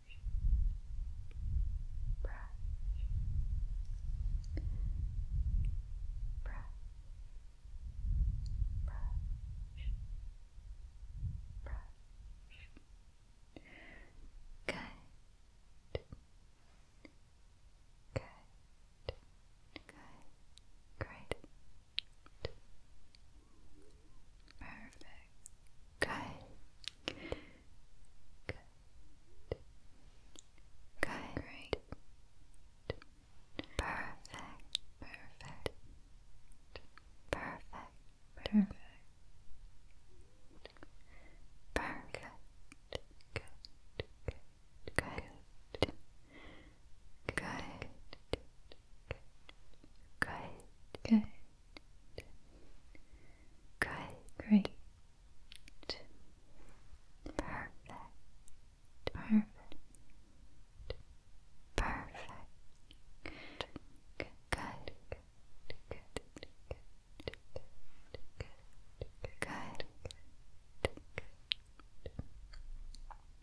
brush, brush, brush, brush. Good. Good. Good. Great. Perfect. Good. Good. Good. Perfect. Perfect. Perfect. Perfect. Perfect. Good. Good. Good. Good. Good. Good. Good, great. Perfect. Perfect. Perfect. Good. Good. Good. Good. Good.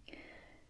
Good.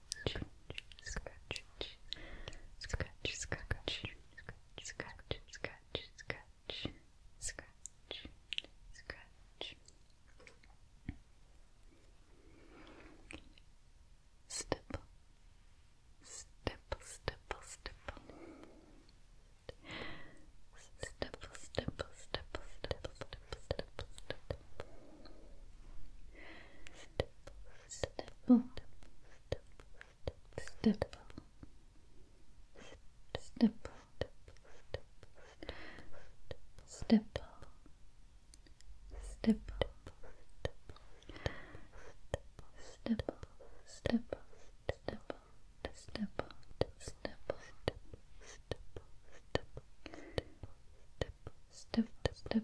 scratch, scratch, scratch, scratch, scratch, scratch, scratch, scratch, scratch, scratch. Stipple, stipple, stipple, stipple. Stipple, stipple, stipple, stipple, Step. stipple, stipple, stipple, stipple, stipple, stipple, stipple, stipple, stipple, stipple, step step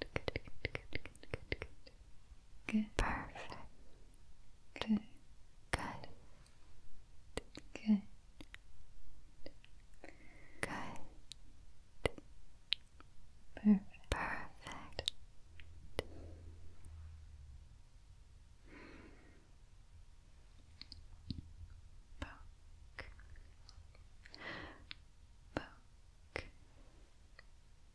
good, good, good, good, good, good, good, perfect, good, good, good, good, perfect, perfect. Poke. Poke.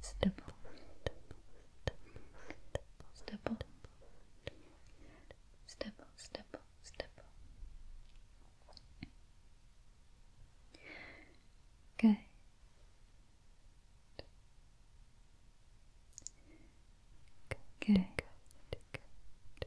stipple, stipple, stipple, stipple, stipple. Good. Good. Good. Good. Good.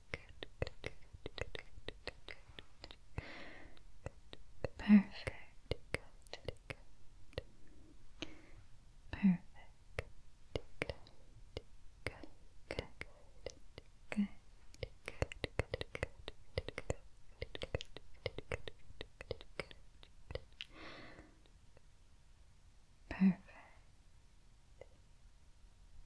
Perfect. Good. Good. Perfect. Good. Good. Good. Good. Good. Good. Good. Good. Good. Perfect.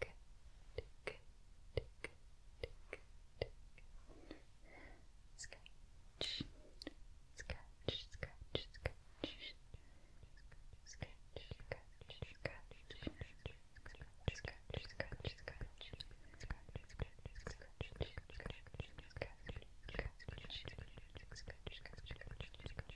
tick, tick, tick, tick, tick. Scratch, scratch, scratch, scratch, scratch, scratch, scratch, scratch. Scratch, scratch, scratch, scratch,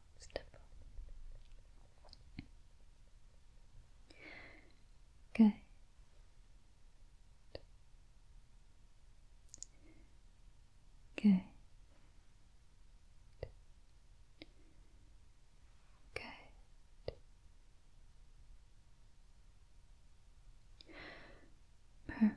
up, step up. Good. Good. Perfect.